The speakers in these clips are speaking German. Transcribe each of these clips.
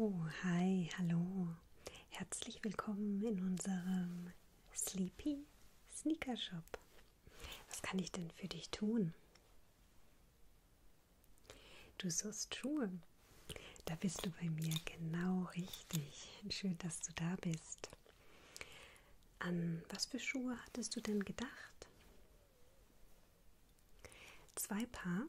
Oh, hi, hallo. Herzlich willkommen in unserem Sleepy Sneaker Shop. Was kann ich denn für dich tun? Du sollst Schuhe. Da bist du bei mir genau richtig. Schön, dass du da bist. An was für Schuhe hattest du denn gedacht? Zwei Paar?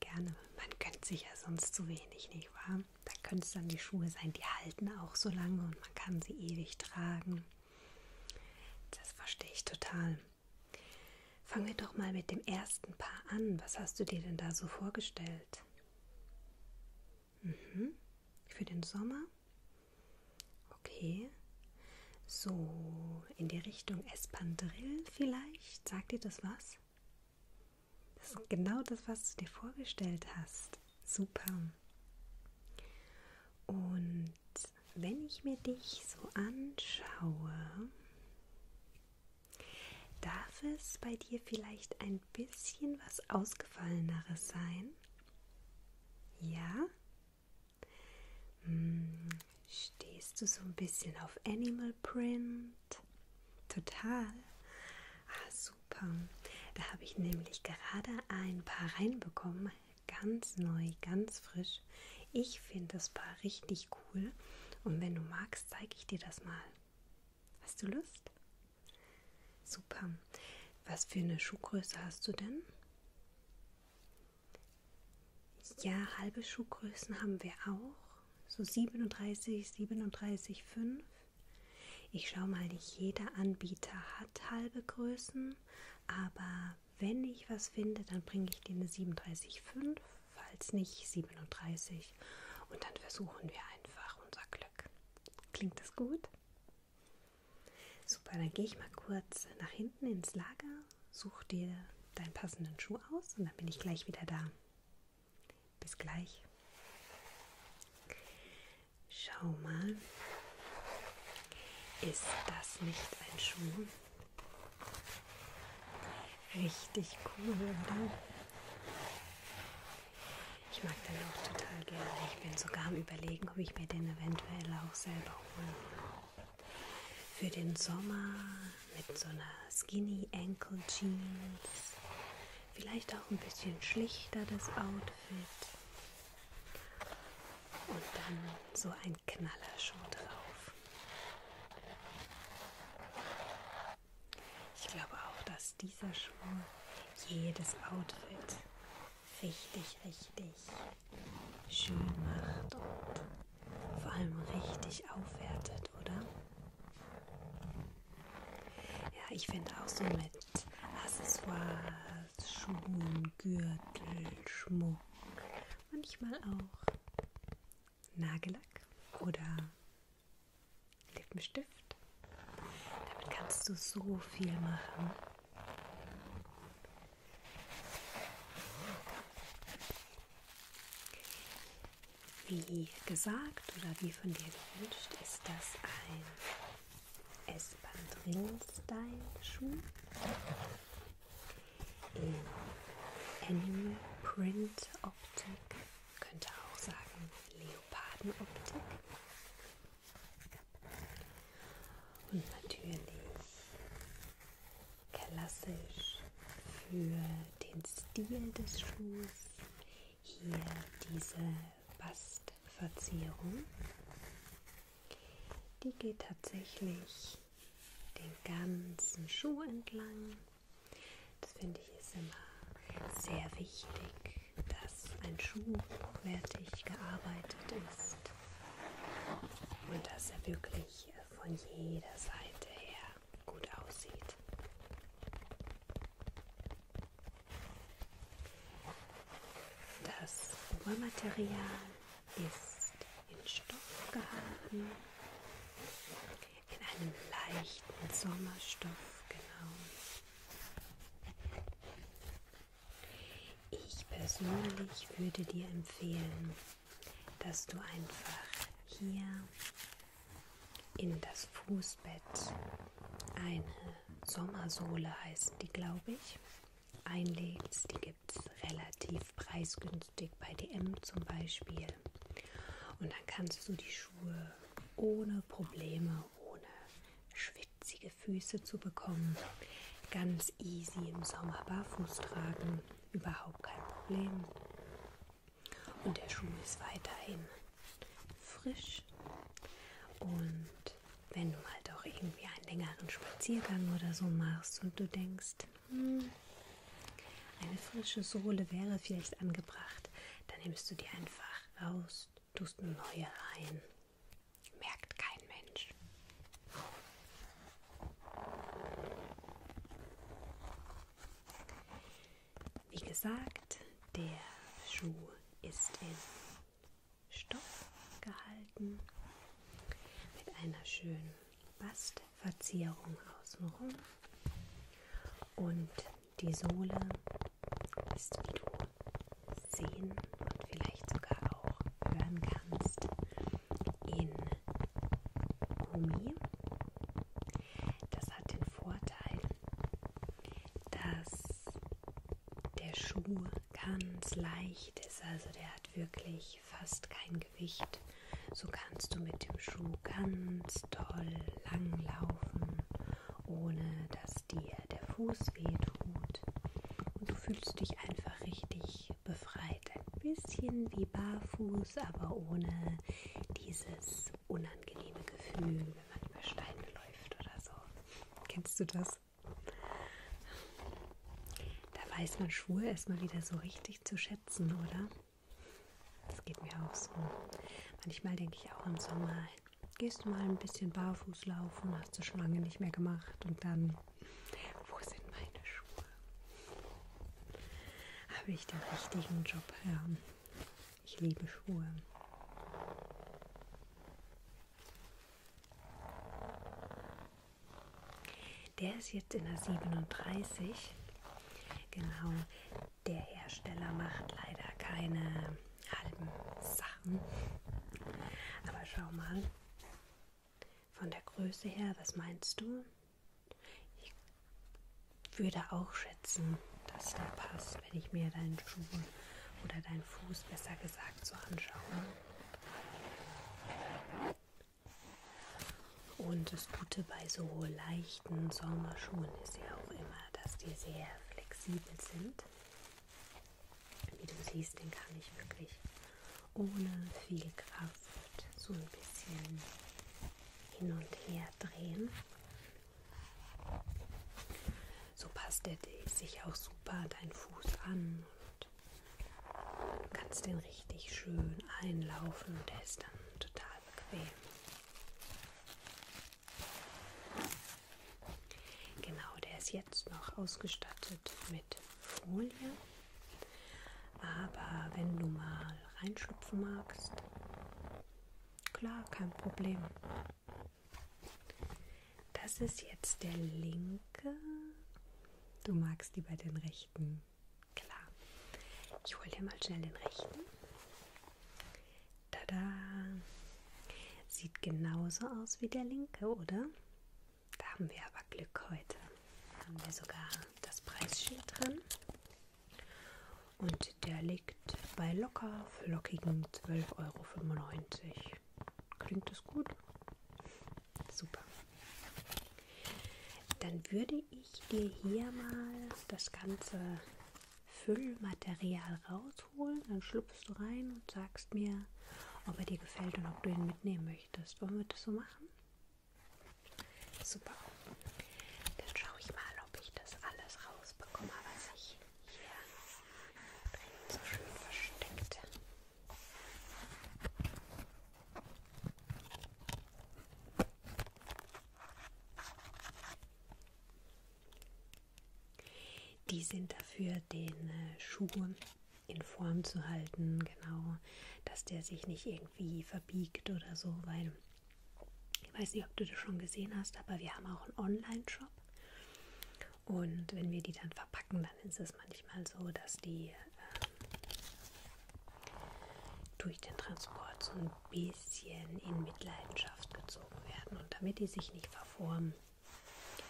Gerne. Man gönnt sich ja sonst zu wenig, nicht wahr? Da können es dann die Schuhe sein, die halten auch so lange und man kann sie ewig tragen. Das verstehe ich total. Fangen wir doch mal mit dem ersten Paar an. Was hast du dir denn da so vorgestellt? Mhm. Für den Sommer? Okay. So, in die Richtung Espandrill vielleicht? Sagt dir das was? Das ist genau das, was du dir vorgestellt hast. Super. Und wenn ich mir dich so anschaue, darf es bei dir vielleicht ein bisschen was Ausgefalleneres sein? Ja? Hm, stehst du so ein bisschen auf Animal Print? Total. Ah, super. Da habe ich nämlich gerade ein paar reinbekommen. Ganz neu, ganz frisch. Ich finde das Paar richtig cool. Und wenn du magst, zeige ich dir das mal. Hast du Lust? Super. Was für eine Schuhgröße hast du denn? Ja, halbe Schuhgrößen haben wir auch. So 37, 37, 5. Ich schaue mal, nicht jeder Anbieter hat halbe Größen, aber wenn ich was finde, dann bringe ich dir eine 37,5, falls nicht 37 und dann versuchen wir einfach unser Glück. Klingt das gut? Super, dann gehe ich mal kurz nach hinten ins Lager, such dir deinen passenden Schuh aus und dann bin ich gleich wieder da. Bis gleich. Schau mal. Ist das nicht ein Schuh? Richtig cool, oder? Ich mag den auch total gerne. Ich bin sogar am Überlegen, ob ich mir den eventuell auch selber hole. Für den Sommer mit so einer Skinny Ankle Jeans. Vielleicht auch ein bisschen schlichter das Outfit. Und dann so ein Knaller schon drauf. Ich glaube auch, dass dieser Schuh jedes Outfit richtig, richtig schön macht und vor allem richtig aufwertet, oder? Ja, ich finde auch so mit Accessoires Halsschuhen, Gürtel, Schmuck, manchmal auch Nagellack oder Lippenstift. Damit kannst du so viel machen. Wie gesagt oder wie von dir gewünscht, ist das ein S-Bahn-Drill-Style-Schuhen in Animal Print Optik, könnte auch sagen Leopardenoptik und natürlich klassisch für den Stil des Schuhs hier diese Bastverzierung. Die geht tatsächlich den ganzen Schuh entlang. Das finde ich ist immer sehr wichtig, dass ein Schuh hochwertig gearbeitet ist und dass er wirklich von jeder Seite her gut aussieht. Das Obermaterial ist in Stoff gehalten, in einem leichten Sommerstoff, genau. Ich persönlich würde dir empfehlen, dass du einfach hier in das Fußbett eine Sommersohle heißen die, glaube ich, einlegst. Die gibt es relativ preisgünstig bei DM zum Beispiel. Und dann kannst du die Schuhe ohne Probleme, ohne schwitzige Füße zu bekommen, ganz easy im Sommer barfuß tragen. Überhaupt kein Problem. Und der Schuh ist weiterhin frisch und wenn du mal halt doch irgendwie einen längeren Spaziergang oder so machst und du denkst, hm, eine frische Sohle wäre vielleicht angebracht, dann nimmst du die einfach raus, tust eine neue rein. Merkt kein Mensch. Wie gesagt, der Schuh ist in Stoff gehalten mit einer schönen Bastverzierung außenrum und die Sohle ist, wie du sehen und vielleicht sogar auch hören kannst, in Gummi. Das hat den Vorteil, dass der Schuh ganz leicht ist. Also der hat wirklich fast kein Gewicht. So kannst du mit dem Schuh ganz toll lang laufen, ohne dass dir der Fuß wehtut. Und du fühlst dich einfach richtig befreit. Ein bisschen wie barfuß, aber ohne dieses unangenehme Gefühl, wenn man über Steine läuft oder so. Kennst du das? Da weiß man Schuhe erstmal wieder so richtig zu schätzen, oder? Das geht mir auch so. Manchmal denke ich auch im Sommer, gehst du mal ein bisschen barfuß laufen, hast du schon lange nicht mehr gemacht und dann, wo sind meine Schuhe? Habe ich den richtigen Job? Ja, ich liebe Schuhe. Der ist jetzt in der 37. Genau, der Hersteller macht leider keine halben Sachen. Aber schau mal, von der Größe her, was meinst du? Ich würde auch schätzen, dass der passt, wenn ich mir deinen Schuh oder deinen Fuß besser gesagt Tag zu anschauen. Und das Gute bei so leichten Sommerschuhen ist ja auch immer, dass die sehr flexibel sind. Wie du siehst, den kann ich wirklich ohne viel Kraft so ein bisschen hin und her drehen. So passt er sich auch super deinen Fuß an und du kannst den richtig schön einlaufen und der ist dann total bequem. Genau, der ist jetzt noch ausgestattet mit Folie. Aber wenn du mal reinschlüpfen magst, klar, kein Problem. Das ist jetzt der linke. Du magst lieber den rechten. Klar. Ich hole dir mal schnell den rechten. Tada! Sieht genauso aus wie der linke, oder? Da haben wir aber Glück heute. Da haben wir sogar das Preisschild dran. Und der liegt bei locker flockigen 12,95 Euro euch. Klingt das gut? Super. Dann würde ich dir hier mal das ganze Füllmaterial rausholen. Dann schlüpfst du rein und sagst mir, ob er dir gefällt und ob du ihn mitnehmen möchtest. Wollen wir das so machen? Super. Dann schaue ich mal, ob ich das alles rausbekomme, was ich hier drin so schön versteckt. Die sind dafür, den äh, Schuh in Form zu halten, genau, dass der sich nicht irgendwie verbiegt oder so, weil ich weiß nicht, ob du das schon gesehen hast, aber wir haben auch einen Online-Shop und wenn wir die dann verpacken, dann ist es manchmal so, dass die ähm, durch den Transport so ein bisschen in Mitleidenschaft gezogen werden. Und damit die sich nicht verformen,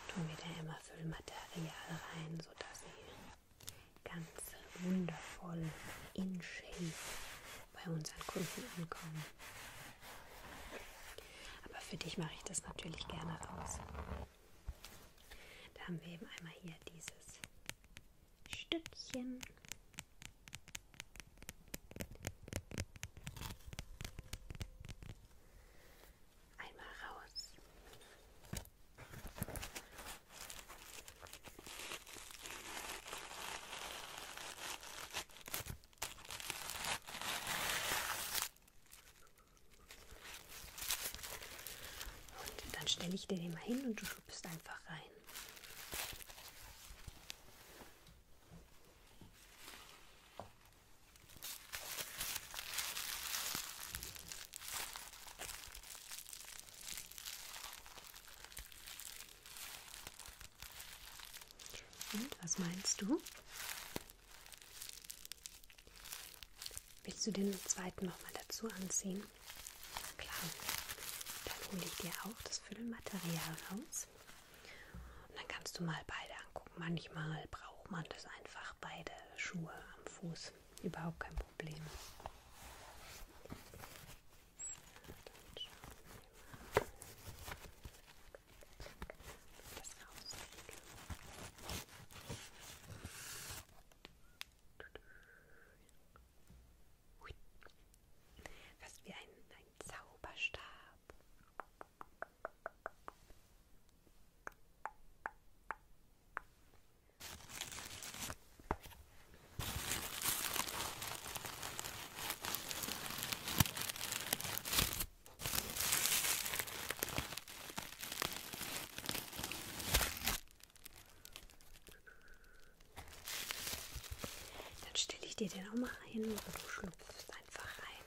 tun wir da immer Füllmaterial rein, sodass sie ganz wundervoll in Shape bei unseren Kunden ankommen. Aber für dich mache ich das natürlich gerne raus. Da haben wir eben einmal hier dieses Stückchen. Einmal raus. Und dann stelle ich dir den mal hin und du schubst einfach rein. Und was meinst du? Willst du den zweiten nochmal dazu anziehen? Klar. Dann hole ich dir auch das Füllmaterial raus. Und dann kannst du mal beide angucken. Manchmal braucht man das einfach beide Schuhe am Fuß. Überhaupt kein Problem. Dann schauen wir mal das rauslege. Hui. Fast wie ein, ein Zauberstab. Dann stelle ich dir den auch mal hin und du schlüpfst einfach rein.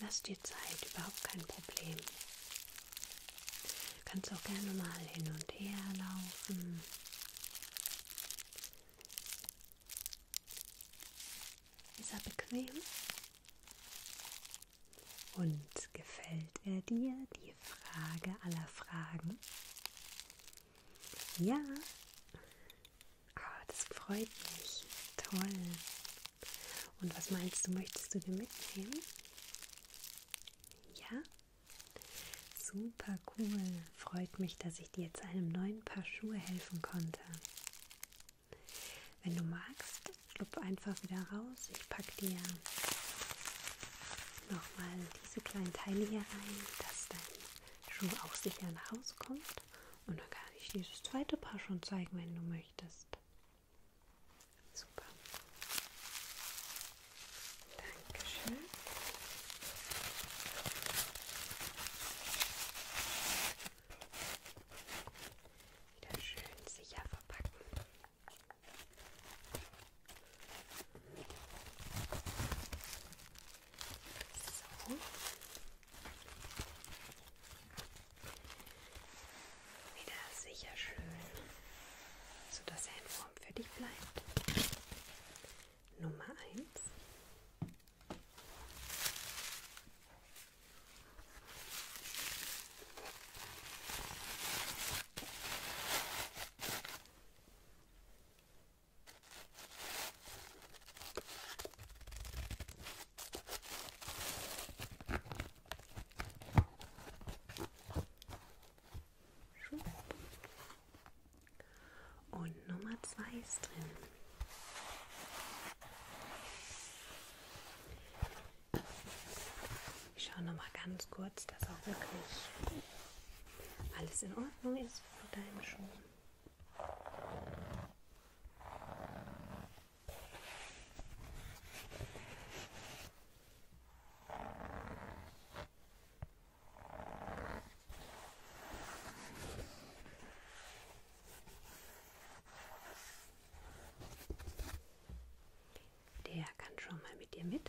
Lass dir Zeit, überhaupt kein Problem. Kannst auch gerne mal hin und her laufen. Ist er bequem? Und gefällt er dir die Frage aller Fragen? Ja. Oh, das freut mich. Toll. Und was meinst du, möchtest du dir mitnehmen? Ja? Super cool. Freut mich, dass ich dir zu einem neuen Paar Schuhe helfen konnte. Wenn du magst, schlupf einfach wieder raus. Ich packe dir nochmal diese kleinen Teile hier rein, dass dein Schuh auch sicher nach Hause kommt. Und dann kann ich dieses zweite Paar schon zeigen, wenn du möchtest. Super. Dankeschön. Wieder schön sicher verpacken. So wieder sicher schön, sodass er in Form für dich bleibt. Nummer 1. Und Nummer zwei ist drin. Ich schaue noch mal ganz kurz, dass auch wirklich alles in Ordnung ist für deinen Schuh. Der kann schon mal mit dir mit.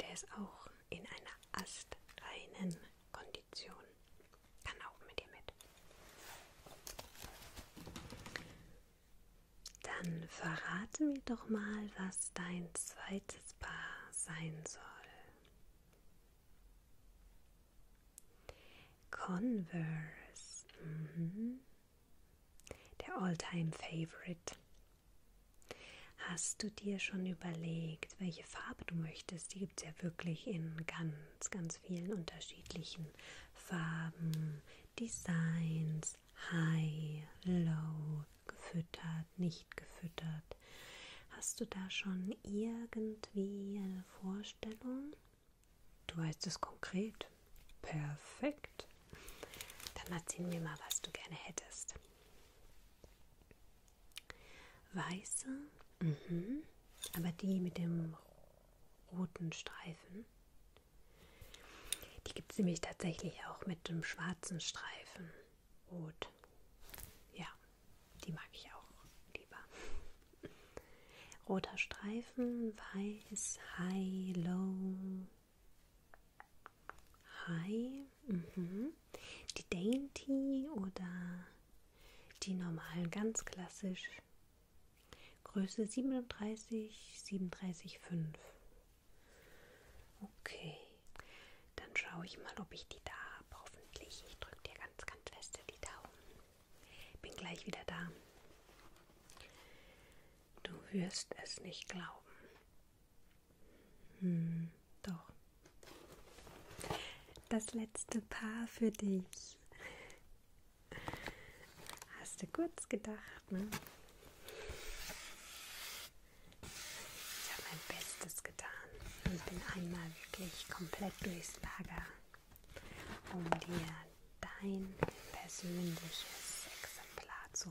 Der ist auch in einer astreinen Kondition. Kann auch mit dir mit. Dann verrate mir doch mal, was dein zweites Paar sein soll. Converse. Mhm. Der Alltime Favorite. Hast du dir schon überlegt, welche Farbe du möchtest? Die gibt es ja wirklich in ganz, ganz vielen unterschiedlichen Farben, Designs, High, Low, gefüttert, nicht gefüttert. Hast du da schon irgendwie eine Vorstellung? Du weißt es konkret. Perfekt. Dann erzähl mir mal, was du gerne hättest. Weiße, mhm. aber die mit dem roten Streifen. Die gibt es nämlich tatsächlich auch mit dem schwarzen Streifen. Rot. Ja, die mag ich auch lieber. Roter Streifen, weiß, high, low, Hi. Mhm. Die Dainty oder die normalen, ganz klassisch. Größe 37, 37,5. Okay. Dann schaue ich mal, ob ich die da habe. Hoffentlich. Ich drücke dir ganz, ganz feste die Daumen. Bin gleich wieder da. Du wirst es nicht glauben. Hm, doch. Das letzte Paar für dich. Hast du kurz gedacht, ne? Ich habe mein Bestes getan und bin einmal wirklich komplett durchs Lager, um dir dein persönliches Exemplar zu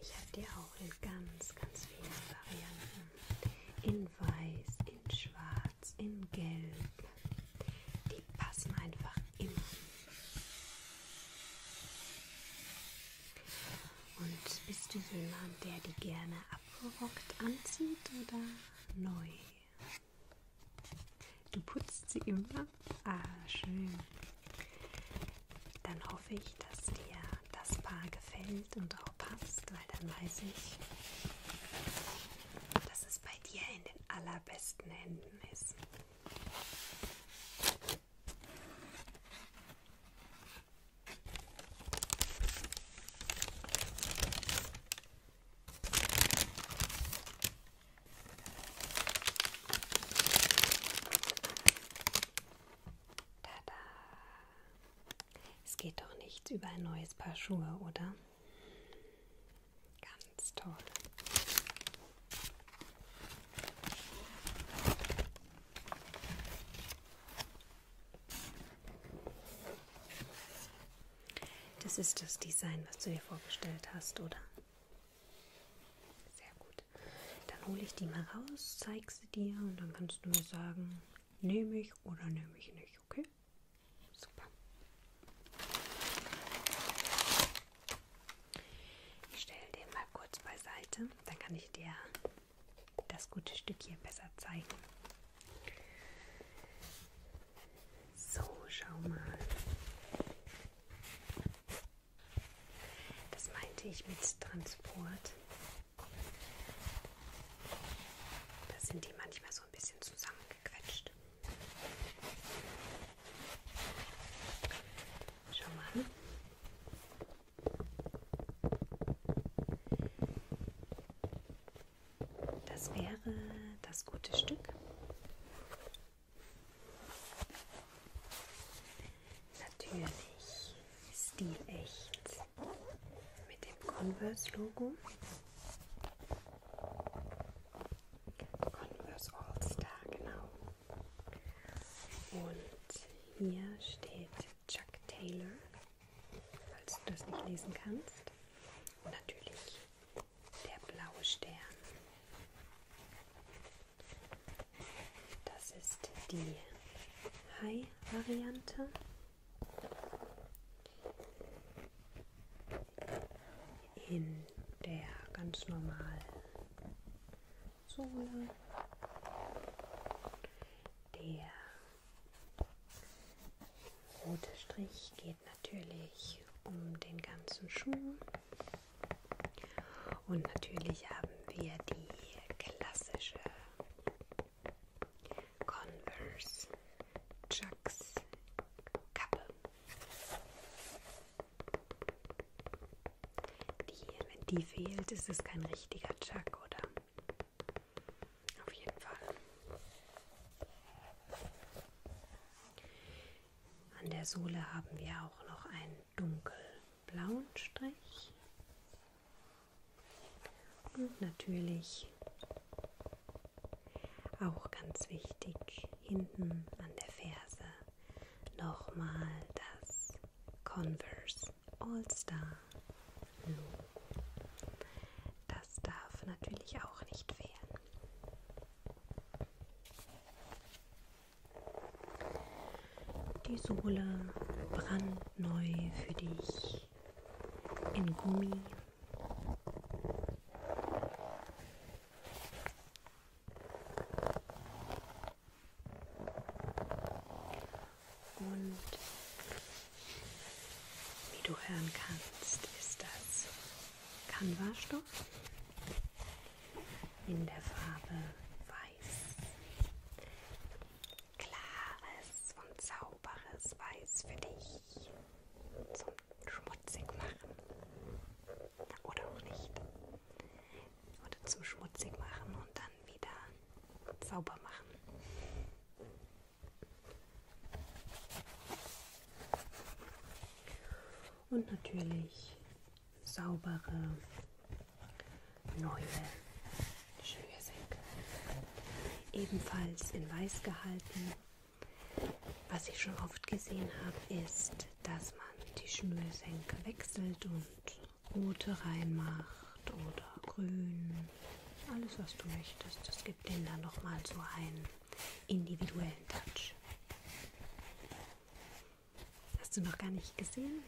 Ich habe dir auch in ganz, ganz vielen Varianten. In weiß, in schwarz, in gelb. Die passen einfach immer. Und bist du jemand, der die gerne abgerockt anzieht oder neu? Du putzt sie immer Ah, schön. Dann hoffe ich, dass dir das Paar gefällt und auch passt, weil dann weiß ich, dass es bei dir in den allerbesten Händen ist. Tada! Es geht doch nichts über ein neues Paar Schuhe, oder? Ganz toll. Das ist das Design, was du dir vorgestellt hast, oder? Sehr gut. Dann hole ich die mal raus, zeig sie dir und dann kannst du mir sagen, nehme ich oder nehme ich nicht, okay? Super. Ich stelle den mal kurz beiseite, dann kann ich dir das gute Stück hier besser zeigen. So, schau mal. Das meinte ich mit Transport. Da sind die manchmal so ein bisschen zusammengequetscht. Schau mal. Das wäre das gute Stück. Natürlich stilecht mit dem Converse-Logo. Converse All-Star, genau. Und hier steht Chuck Taylor, falls du das nicht lesen kannst. Und natürlich der blaue Stern. Das ist die High-Variante. In der ganz normalen Sohle. Der rote Strich geht natürlich um den ganzen Schuh. Und natürlich haben wir die klassische Converse Chucks Kappe, die, wenn die fehlt, ist es kein richtiger Chuck, oder? Auf jeden Fall. An der Sohle haben wir auch noch ein dunkel blauen Strich und natürlich auch ganz wichtig hinten an der Ferse nochmal das Converse All Star Logo. Das darf natürlich auch nicht fehlen. Die Sohle brandneu für dich in Gummi. Und wie du hören kannst, ist das Canva-Stoff in der Farbe Weiß. Klares und sauberes Weiß für dich zum Schmutzig machen. Oder auch nicht. Oder zum Schmutzig machen und dann wieder sauber machen. Und natürlich saubere, neue Schnürsenkel. Ebenfalls in weiß gehalten. Was ich schon oft gesehen habe, ist, dass man die Schnürsenkel wechselt und rote reinmacht oder grün. Alles, was du möchtest. Das gibt denen dann nochmal so einen individuellen Touch. Hast du noch gar nicht gesehen?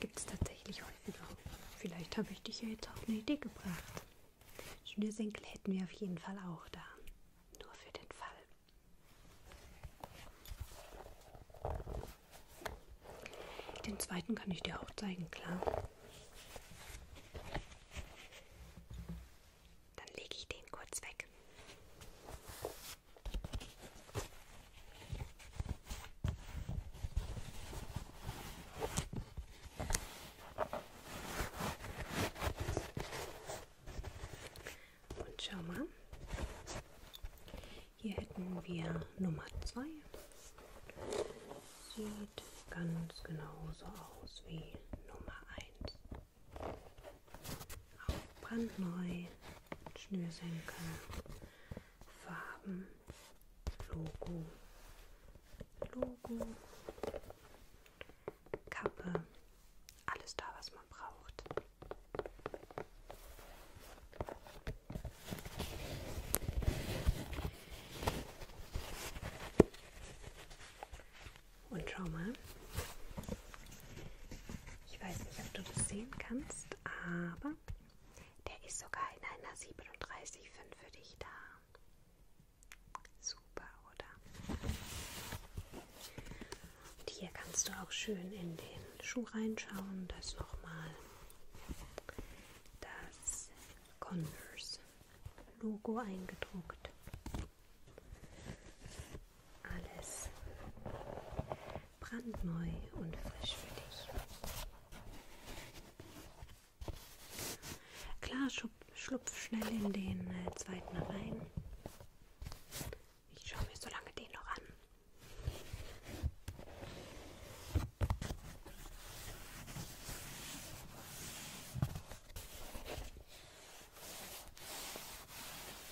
Gibt es tatsächlich heute noch. Vielleicht habe ich dich ja jetzt auf eine Idee gebracht. Schnürsenkel hätten wir auf jeden Fall auch da. Nur für den Fall. Den zweiten kann ich dir auch zeigen, klar. Dann lege ich den kurz weg. Und schau mal, hier hätten wir Nummer 2. Sieht ganz genauso aus wie Nummer 1. Auch brandneu Schnürsenkel, Farben, Logo, Logo, Kappe, alles da, was man braucht. Und schau mal, ich weiß nicht, ob du das sehen kannst gemacht, aber der ist sogar in einer 37,5 für dich da. Super, oder? Und hier kannst du auch schön in den Schuh reinschauen. Das ist nochmal das Converse-Logo eingedruckt. Alles brandneu und frisch für dich. Klar, schlupf schnell in den äh, zweiten rein. Ich schaue mir so lange den noch an.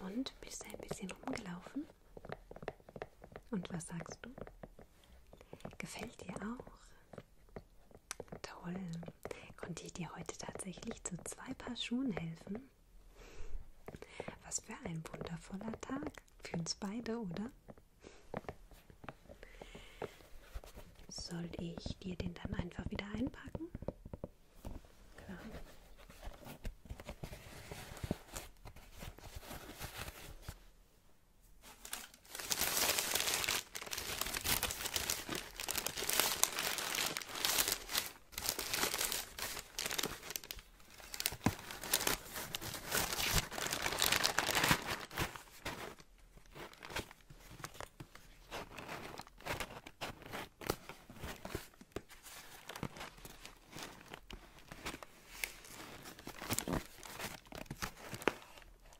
Und bist ein bisschen rumgelaufen? Und was sagst du? Gefällt dir auch? Toll. Konnte ich dir heute tatsächlich zu zwei Paar Schuhen helfen? Was für ein wundervoller Tag für uns beide, oder? Soll ich dir den dann einfach wieder einpacken? Klar.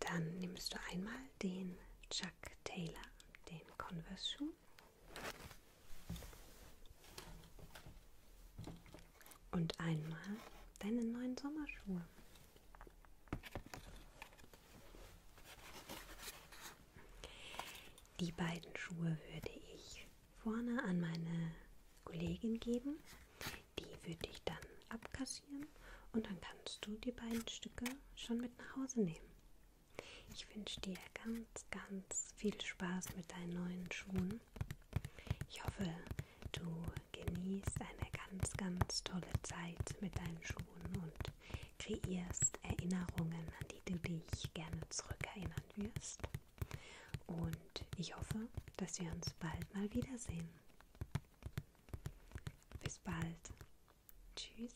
Dann nimmst du einmal den Chuck Taylor, den Converse-Schuh und einmal deine neuen Sommerschuhe. Die beiden Schuhe würde ich vorne an meine Kollegin geben. Die würde ich dann abkassieren und dann kannst du die beiden Stücke schon mit nach Hause nehmen. Ich wünsche dir ganz, ganz viel Spaß mit deinen neuen Schuhen. Ich hoffe, du genießt eine ganz, ganz tolle Zeit mit deinen Schuhen und kreierst Erinnerungen, an die du dich gerne zurückerinnern wirst. Und ich hoffe, dass wir uns bald mal wiedersehen. Bis bald. Tschüss.